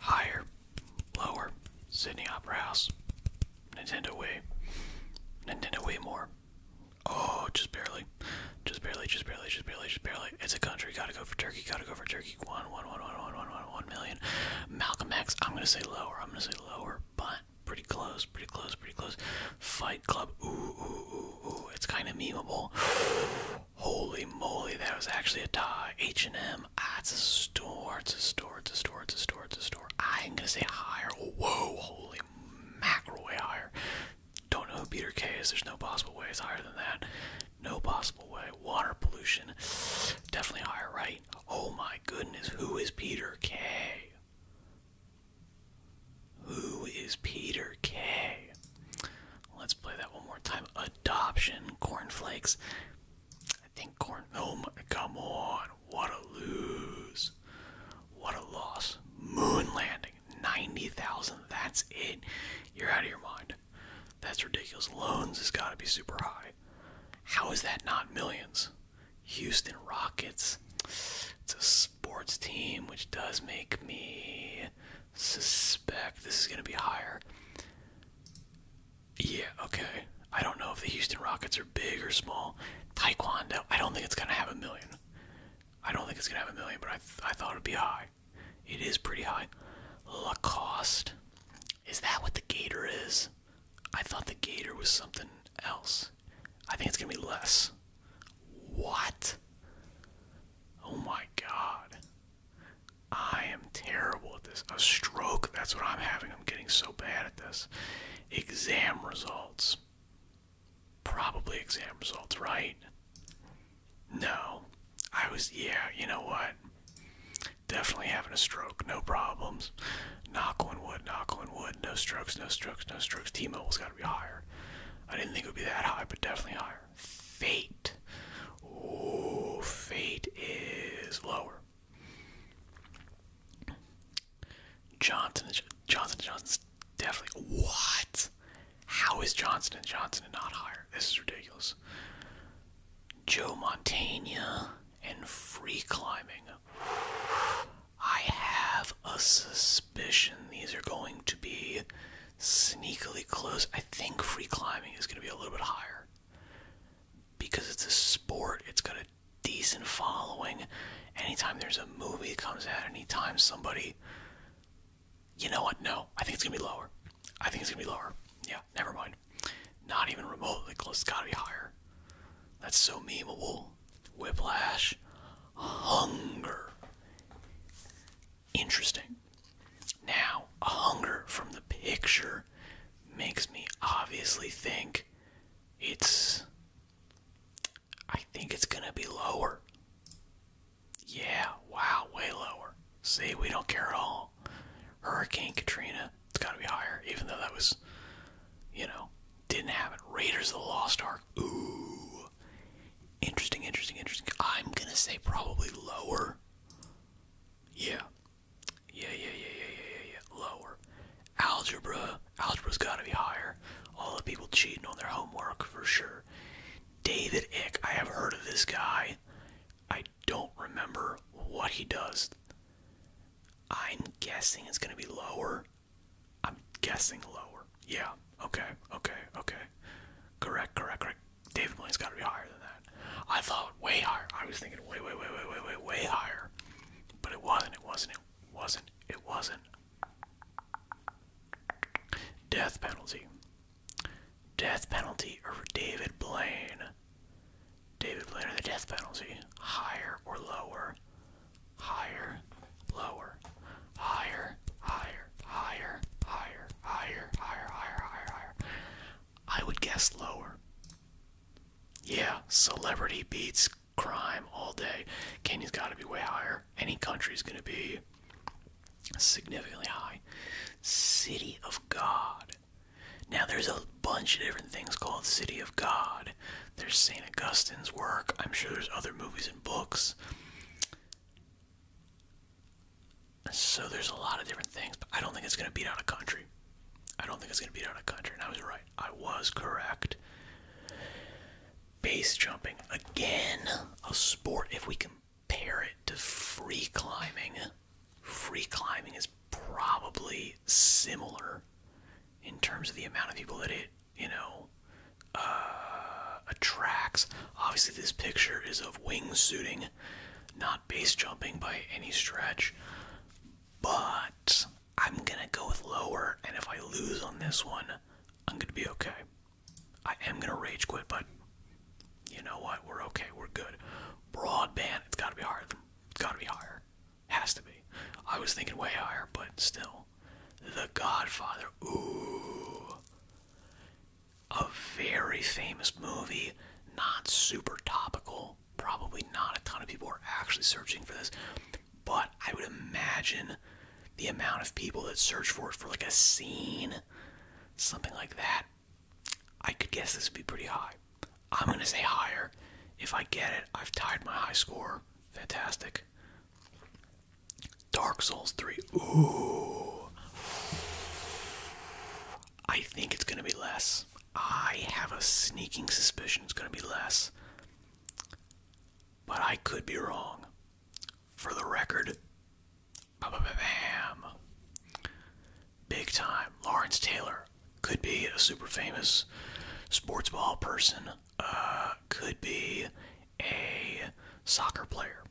Higher, lower, Sydney Opera House, Nintendo Way, Nintendo Way more. Oh, just barely, just barely, just barely, just barely, just barely. It's a country. Gotta go for Turkey. Gotta go for Turkey. One, one, one, one, one, one, one, one million. Malcolm X. I'm gonna say lower. I'm gonna say lower, but pretty close, pretty close, pretty close. Fight Club. Ooh, ooh, ooh, ooh. It's kind of memeable. Holy moly, that was actually a tie. H&M, ah, a store, it's a store, it's a store, it's a store, it's a store. I am gonna say higher. Whoa, holy mackerel, way higher. Don't know who Peter K is, there's no possible way it's higher than that. No possible way. Water pollution, definitely higher, right? Oh my goodness, who is Peter K? Who is Peter K? Let's play that one more time. Adoption, corn flakes. I think corn. Oh my, come on. What a lose. What a loss. Moon landing. 90,000. That's it. You're out of your mind. That's ridiculous. Loans has got to be super high. How is that not millions? Houston Rockets. It's a sports team, which does make me suspect this is going to be higher. Yeah, okay. I don't know if the Houston Rockets are big or small. Taekwondo, I don't think it's going to have a million. I don't think it's going to have a million, but I, I thought it would be high. It is pretty high. Lacoste. Is that what the gator is? I thought the gator was something else. I think it's going to be less. What? Oh my god. I am terrible at this. A stroke, that's what I'm having. I'm getting so bad at this. Exam results. Probably exam results, right? No. I was, yeah, you know what? Definitely having a stroke, no problems. Knock on wood, knock on wood, no strokes, no strokes, no strokes. T Mobile's got to be higher. I didn't think it would be that high, but definitely higher. Fate. Oh, fate is lower. Johnson Johnson, Johnson Johnson's definitely what? How is Johnson and Johnson not higher? This is ridiculous. Joe Montaigne and free climbing. I have a suspicion these are going to be sneakily close. I think free climbing is going to be a little bit higher because it's a sport, it's got a decent following. Anytime there's a movie comes out, anytime somebody. You know what? No, I think it's going to be lower. I think it's going to be lower. Yeah, never mind. Not even remotely close. got to be higher. That's so memeable. Whiplash, hunger. Interesting. Now, a hunger from the picture makes me obviously think it's. I think it's gonna be lower. Yeah, wow, way lower. See, we don't care at all. Hurricane Katrina, it's gotta be higher, even though that was, you know, didn't have it. Raiders of the Lost Ark. Ooh. Interesting, interesting, interesting. I'm going to say probably lower. Yeah. Yeah, yeah, yeah, yeah, yeah, yeah, yeah. Lower. Algebra. Algebra's got to be higher. All the people cheating on their homework for sure. David Ick. I have heard of this guy. I don't remember what he does. I'm guessing it's going to be lower. I'm guessing lower. Yeah. Okay. Okay. Okay. Correct. Correct. Correct. David Blaine's got to be higher than that. I thought way higher. I was thinking way, way, way, way, way, way, way higher. But it wasn't. It wasn't. It wasn't. It wasn't. Death penalty. Death penalty over David Blaine. David played under the death penalty. Higher or lower? Higher, lower. Higher, higher, higher, higher, higher, higher, higher, I would guess lower. Yeah, celebrity beats crime all day. Kenya's gotta be way higher. Any country country's gonna be significantly high. City of God. Now, there's a bunch of different things called City of God. There's St. Augustine's work. I'm sure there's other movies and books. So there's a lot of different things, but I don't think it's going to beat out a country. I don't think it's going to beat out a country. And I was right. I was correct. Base jumping. Again, a sport, if we compare it to free climbing, free climbing is probably similar in terms of the amount of people that it, you know, uh, attracts. Obviously, this picture is of wingsuiting, not base jumping by any stretch, but I'm gonna go with lower, and if I lose on this one, I'm gonna be okay. I am gonna rage quit, but you know what? We're okay. We're good. Broadband, it's got to be higher. It's got to be higher. Has to be. I was thinking way higher, but still. The Godfather. Ooh. A very famous movie. Not super topical. Probably not a ton of people are actually searching for this. But I would imagine the amount of people that search for it for like a scene, something like that, I could guess this would be pretty high. I'm going to say higher. If I get it, I've tied my high score. Fantastic. Dark Souls 3. Ooh. I think it's going to be less. I have a sneaking suspicion it's going to be less. But I could be wrong. For the record, Big time. Lawrence Taylor could be a super famous sports ball person. Uh, could be a soccer player.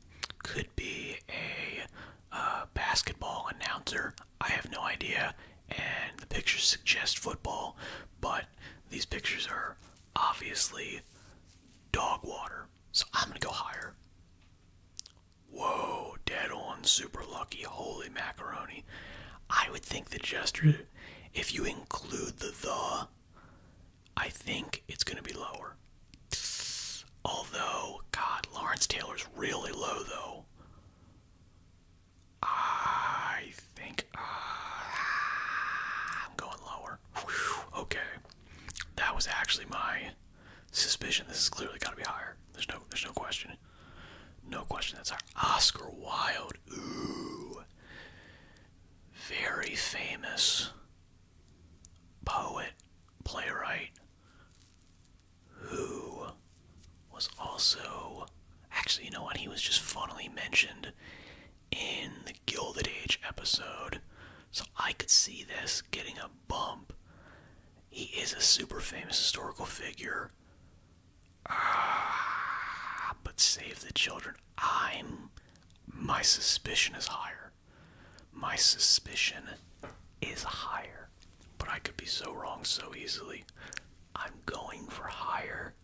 Could be a uh, basketball announcer. I have no idea. And the pictures suggest football, but these pictures are obviously dog water. So I'm gonna go higher. Whoa, dead on, super lucky, holy macaroni. I would think the gesture, if you include the the, I think it's gonna be lower. Although, God, Lawrence Taylor's really low though. I think uh, I'm going lower. okay that was actually my suspicion. This is clearly got to be higher. There's no, there's no question. No question. That's our Oscar Wilde. very famous poet, playwright, who was also actually, you know what? He was just funnily mentioned in the Gilded Age episode. So I could see this getting a bump. He is a super famous historical figure. Ah, but save the children. I'm. My suspicion is higher. My suspicion is higher. But I could be so wrong so easily. I'm going for higher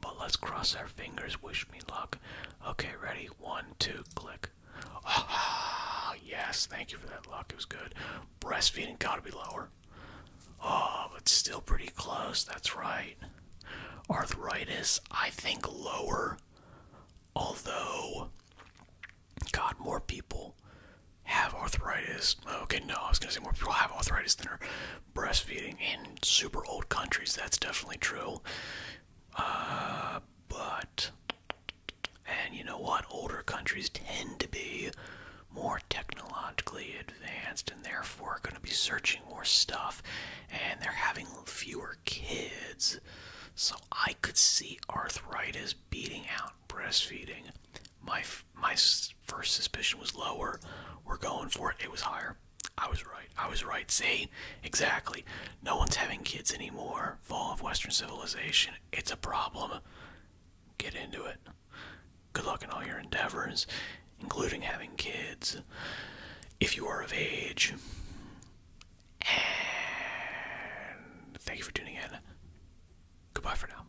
but let's cross our fingers. Wish me luck. Okay, ready? One, two, click. Ah, yes. Thank you for that luck. It was good. Breastfeeding gotta be lower. Oh, but still pretty close. That's right. Arthritis, I think lower. Although, God, more people have arthritis. Okay, no, I was gonna say more people have arthritis than her breastfeeding in super old countries. That's definitely true. Uh, but, and you know what? Older countries tend to be more technologically advanced and therefore going to be searching more stuff and they're having fewer kids. So I could see arthritis beating out breastfeeding. My my first suspicion was lower. We're going for it. It was higher. I was right. I was right. See? Exactly. No one's having kids anymore. Fall of Western civilization. It's a problem. Get into it. Good luck in all your endeavors, including having kids. If you are of age. And thank you for tuning in. Goodbye for now.